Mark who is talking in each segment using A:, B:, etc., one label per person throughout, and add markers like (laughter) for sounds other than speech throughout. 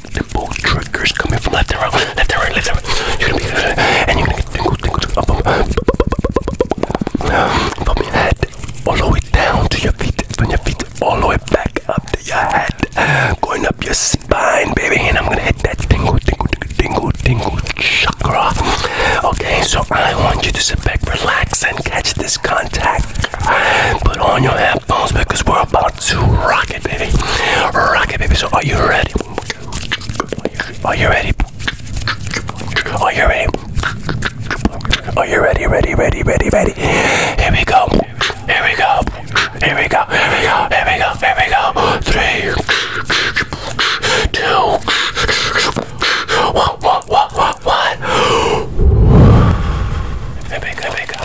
A: get dimple triggers coming from left and right, left and right, left and right. You're gonna be good, and you're gonna get tingle, tingle, tingle up, up, up, up, up, from your head all the way down to your feet, from your feet all the way back up to your head, going up your spine, baby. And I'm gonna hit that tingle, tingle, tingle, tingle, tingle chakra. Okay, so I want you to sit back, relax, and catch this contact. Put on your headphones because we're about part Rock it, baby. Rock it, baby. So, are you ready? Are you ready? Are you ready? Are you ready? Ready, ready, ready, ready. Here we go. Here we go. Here we go. Here we go. Here we go. Here we go. Three, two, one, one, one, one, one. Here we go. Here we go.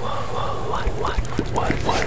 A: What? What? What? What? What?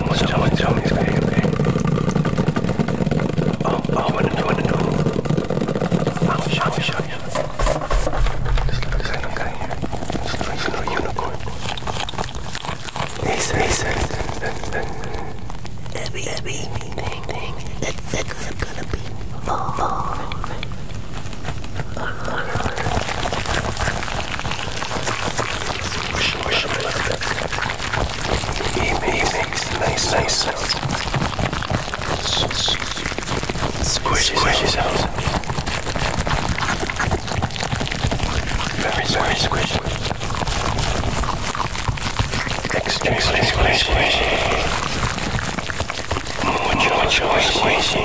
A: Someone, someone, tell me it's gonna be okay. Oh, oh, I wanna know, I wanna know. I'll show you, show you. Just look at this little guy here. Just like a little unicorn. Hey, sir, hey, sir. Abby, Abby, ding, ding, ding. That's, that's gonna be fall. Oh. Push, push a little bit. He, he makes nice, nice sounds. Squishy, squishy sounds. Very, very squishy. Extremely squishy. squishy. Mucho, mucho squishy.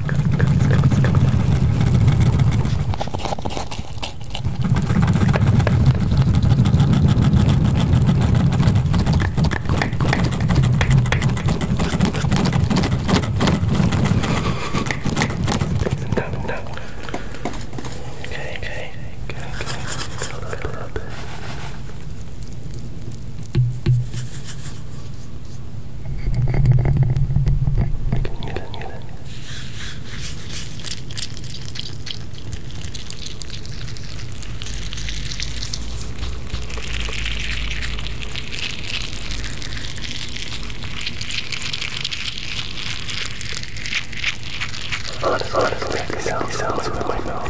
A: Okay, okay, okay, okay. Good, good, good. Nila, nila, nila. Honestly, honestly, it sounds, sounds with my mouth.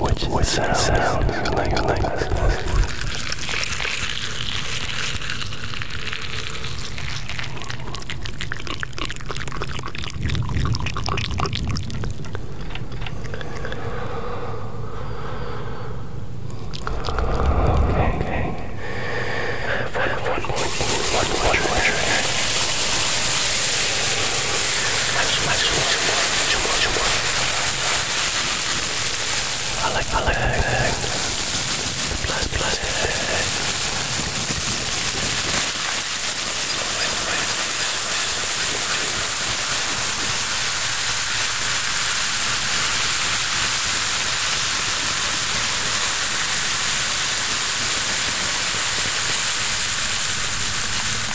A: which, which sounds, sounds like, like, like Okay. One, one more, one more, one more trigger. Much, much, much more, much more, much more. I like I like the plastic plastic thing.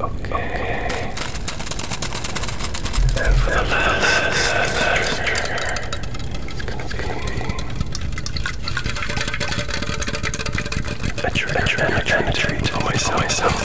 A: Okay. And for the last trigger, it's gonna be a trigger, a trigger, a trigger, a treat for myself.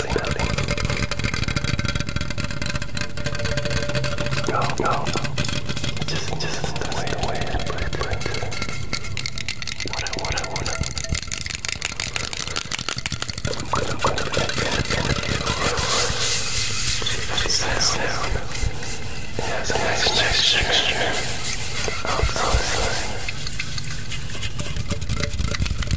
A: Howdy, howdy. Go, go. Just, just the way, the way I play, play, play. What I, what I wanna. I'm gonna, I'm gonna play, play, play, play. She says down. It has a nice texture. Outside.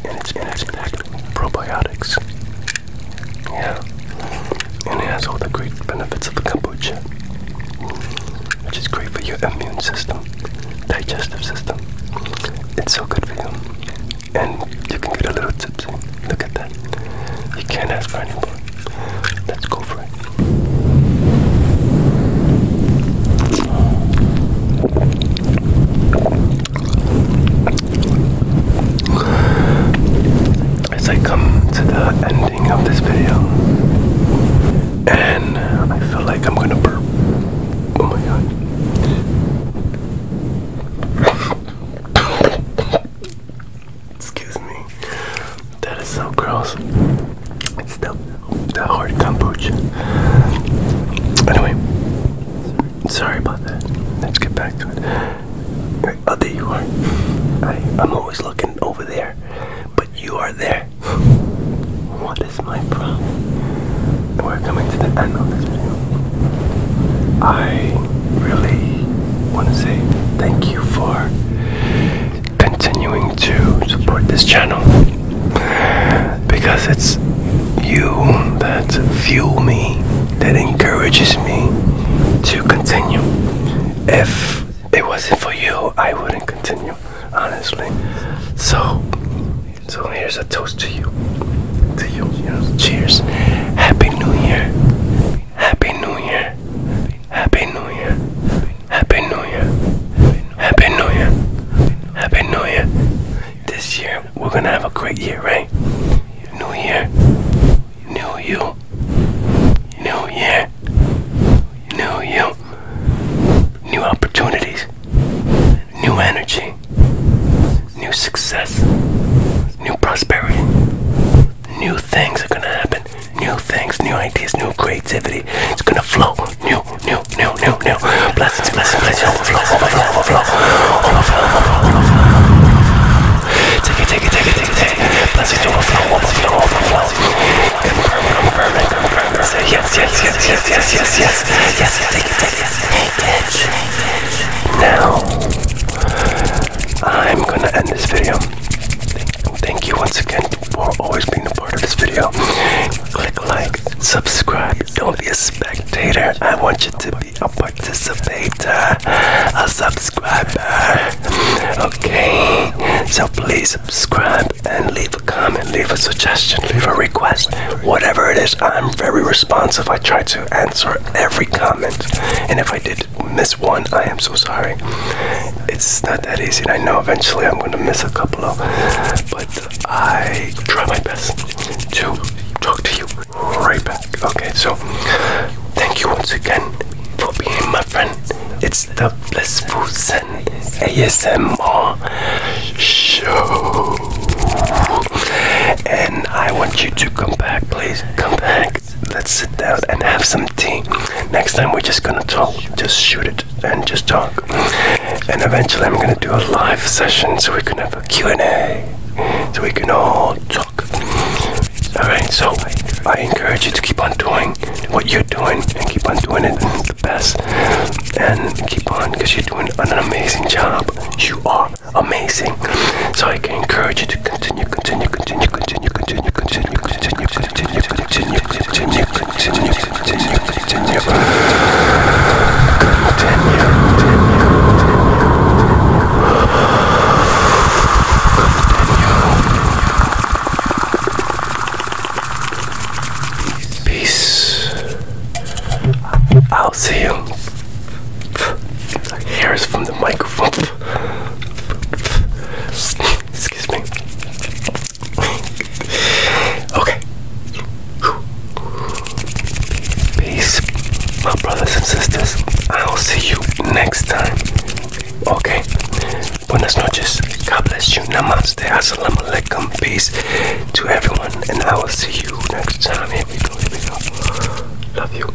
A: And it's packed with probiotics. Yeah. And it has all the great benefits of kombucha, which is great for your immune system, digestive system. It's so good for you. And you can get a little tipsy. Look at that. You can't ask for any more. Let's go for it. As I come to the ending of this video, and I feel like I'm gonna burp. Oh my god. (coughs) Excuse me. That is so gross. It's the the hard kombucha. Anyway, sorry about that. Let's get back to it. Oh, you are. I, am always looking over there, but you are there. What is my problem? we're coming to the end of this video. I really want to say thank you for continuing to support this channel because it's you that fuel me, that encourages me to continue. If it wasn't for you, I wouldn't continue, honestly. So, so here's a toast to you, to you. cheers. Happy New Year. Happy New Year. Happy New Year. Happy New Year. Happy New Year. Happy New Year. This year, we're gonna have a great year, right? New Year. New You. New Year. New You. New opportunities. New energy. New success. New prosperity. New things are gonna happen. New things, new ideas, new creativity. It's gonna flow. New new, new, new, new, new. Blessings, blessings, blessings, overflow, overflow, overflow, overflow, overflow. Take it, take it, take it, take it, take it. Blessings, overflow, overflow, overflow. Confirm, confirm, confirm, confirm. Say yes, yes, yes, yes, yes, yes, yes, yes. Take it, take it, take it. Now, I'm gonna end this video. Thank you once again for always being a part of this video. Click like, subscribe, don't be a spectator. I want you to be a participator, a subscriber. Okay, so please subscribe and leave a comment, leave a suggestion, leave a request, whatever it is. I'm very responsive. I try to answer every comment, and if I did miss one, I am so sorry it's not that easy. And I know eventually I'm going to miss a couple of, but I try my best to talk to you right back. Okay, so thank you once again for being my friend. It's the Blissful Zen ASMR show. And I want you to come back, please. Come back. Let's sit down and have some tea. Next time we're just gonna talk. Just shoot it and and just talk. And eventually, I'm gonna do a live session so we can have a Q and A, so we can all talk. All right. So I encourage you to keep on doing what you're doing and keep on doing it the best, and keep on because you're doing an amazing job. You are amazing. So I can encourage you to continue, continue, continue, continue, continue, continue, continue. continue continue, continue, continue, continue, continue, continue. Continue. Peace. I'll see you. Here's from the microphone. (laughs) Excuse me okay. Peace, my brothers and sisters. I'll see you next time. Okay. Buenas noches. God bless you. Namaste. Assalamu alaikum. Peace to everyone. And I will see you next time. Here we go. Here we go. Love you.